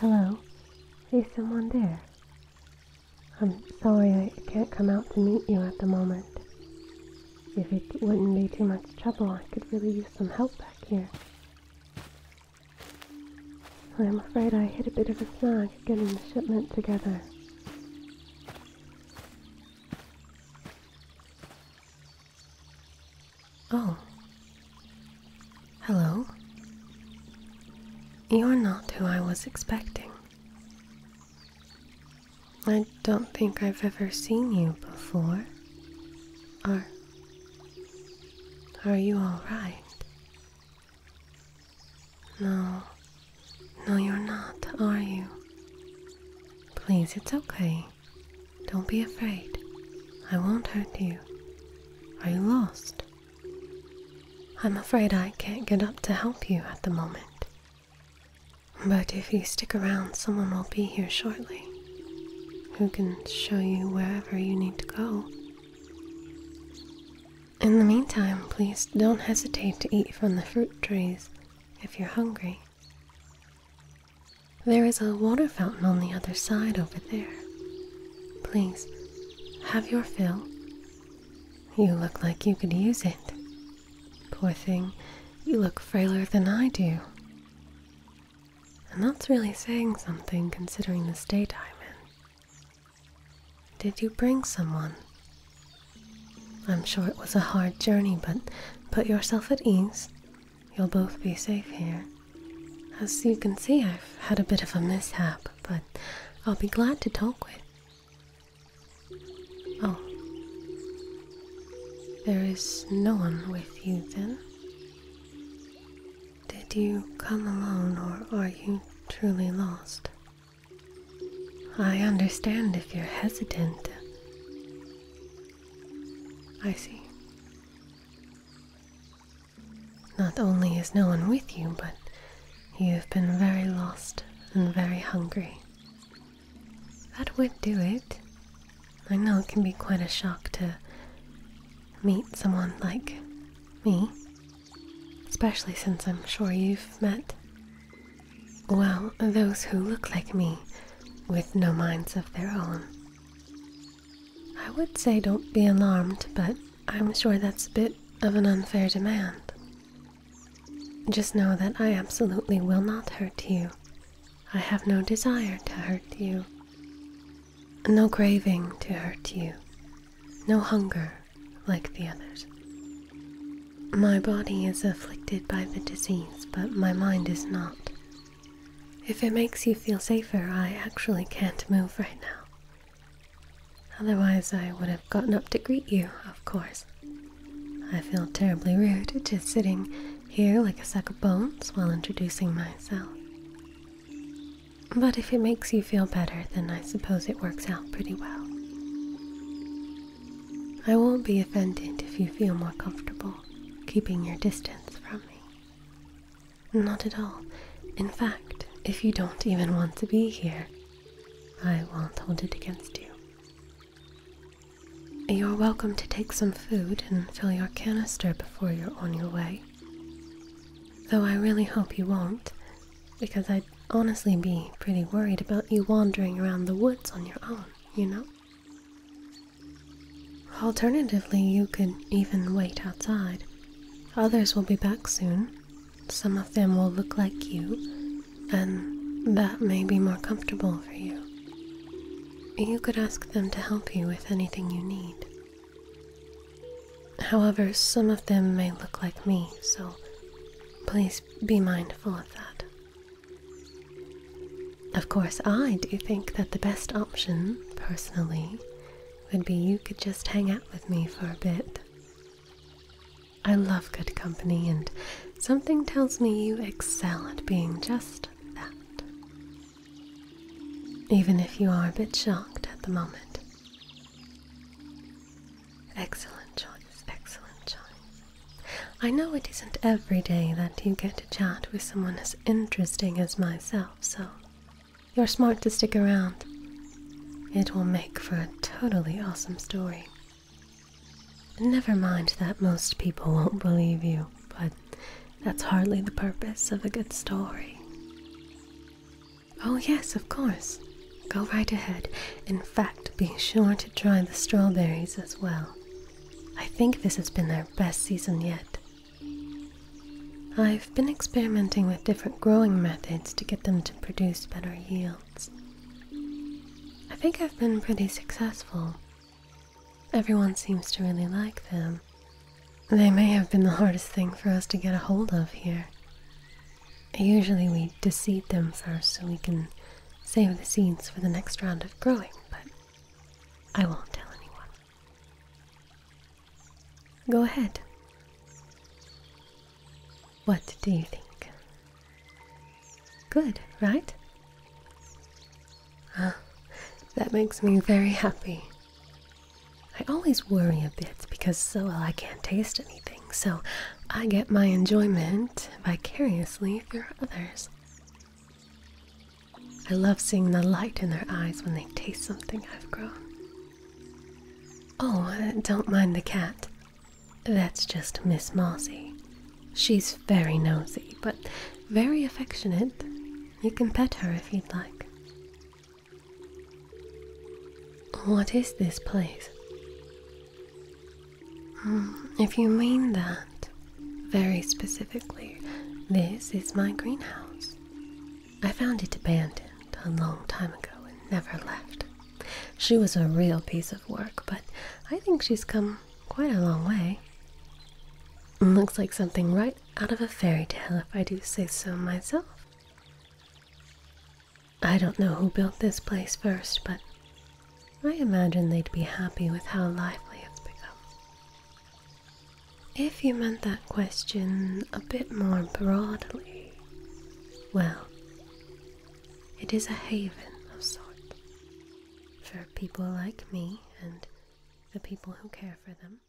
Hello. Is someone there? I'm sorry I can't come out to meet you at the moment. If it wouldn't be too much trouble, I could really use some help back here. I'm afraid I hit a bit of a snag getting the shipment together. Oh. Hello? You're not who I was expecting. I don't think I've ever seen you before. Are. Are you alright? No, no, you're not, are you? Please, it's okay. Don't be afraid. I won't hurt you. Are you lost? I'm afraid I can't get up to help you at the moment. But if you stick around, someone will be here shortly who can show you wherever you need to go. In the meantime, please don't hesitate to eat from the fruit trees if you're hungry. There is a water fountain on the other side over there. Please, have your fill. You look like you could use it. Poor thing, you look frailer than I do. And that's really saying something considering the state I'm in. Did you bring someone? I'm sure it was a hard journey, but put yourself at ease. You'll both be safe here. As you can see, I've had a bit of a mishap, but I'll be glad to talk with. Oh. There is no one with you then? Did you come alone or are you truly lost? I understand if you're hesitant. I see. Not only is no one with you, but you have been very lost and very hungry. That would do it. I know it can be quite a shock to meet someone like me, especially since I'm sure you've met, well, those who look like me with no minds of their own. I would say don't be alarmed, but I'm sure that's a bit of an unfair demand. Just know that I absolutely will not hurt you. I have no desire to hurt you, no craving to hurt you, no hunger like the others. My body is afflicted by the disease, but my mind is not. If it makes you feel safer, I actually can't move right now. Otherwise, I would have gotten up to greet you, of course. I feel terribly rude just sitting here like a sack of bones while introducing myself. But if it makes you feel better, then I suppose it works out pretty well. I won't be offended if you feel more comfortable keeping your distance from me. Not at all. In fact, if you don't even want to be here, I won't hold it against you. You're welcome to take some food and fill your canister before you're on your way. Though I really hope you won't, because I'd honestly be pretty worried about you wandering around the woods on your own, you know? Alternatively, you could even wait outside. Others will be back soon. Some of them will look like you, and that may be more comfortable for you. You could ask them to help you with anything you need. However, some of them may look like me, so please be mindful of that. Of course, I do think that the best option, personally, would be you could just hang out with me for a bit. I love good company, and something tells me you excel at being just that. Even if you are a bit shocked at the moment, Excellent choice, excellent choice. I know it isn't every day that you get to chat with someone as interesting as myself, so you're smart to stick around. It will make for a totally awesome story. Never mind that most people won't believe you, but that's hardly the purpose of a good story. Oh, yes, of course. Go right ahead. In fact, be sure to try the strawberries as well. I think this has been their best season yet. I've been experimenting with different growing methods to get them to produce better yields. I think I've been pretty successful. Everyone seems to really like them. They may have been the hardest thing for us to get a hold of here. Usually we deceive them first so we can save the seeds for the next round of growing, but I won't tell anyone. Go ahead. What do you think? Good, right? Ah, that makes me very happy. I always worry a bit because, oh, well, I can't taste anything, so I get my enjoyment vicariously through others. I love seeing the light in their eyes when they taste something I've grown. Oh, uh, don't mind the cat. That's just Miss Mossy. She's very nosy, but very affectionate. You can pet her if you'd like. What is this place? Mm, if you mean that very specifically, this is my greenhouse. I found it abandoned a long time ago and never left. She was a real piece of work, but I think she's come quite a long way. Looks like something right out of a fairy tale, if I do say so myself. I don't know who built this place first, but I imagine they'd be happy with how lively it's become. If you meant that question a bit more broadly, well, it is a haven of sorts for people like me and the people who care for them.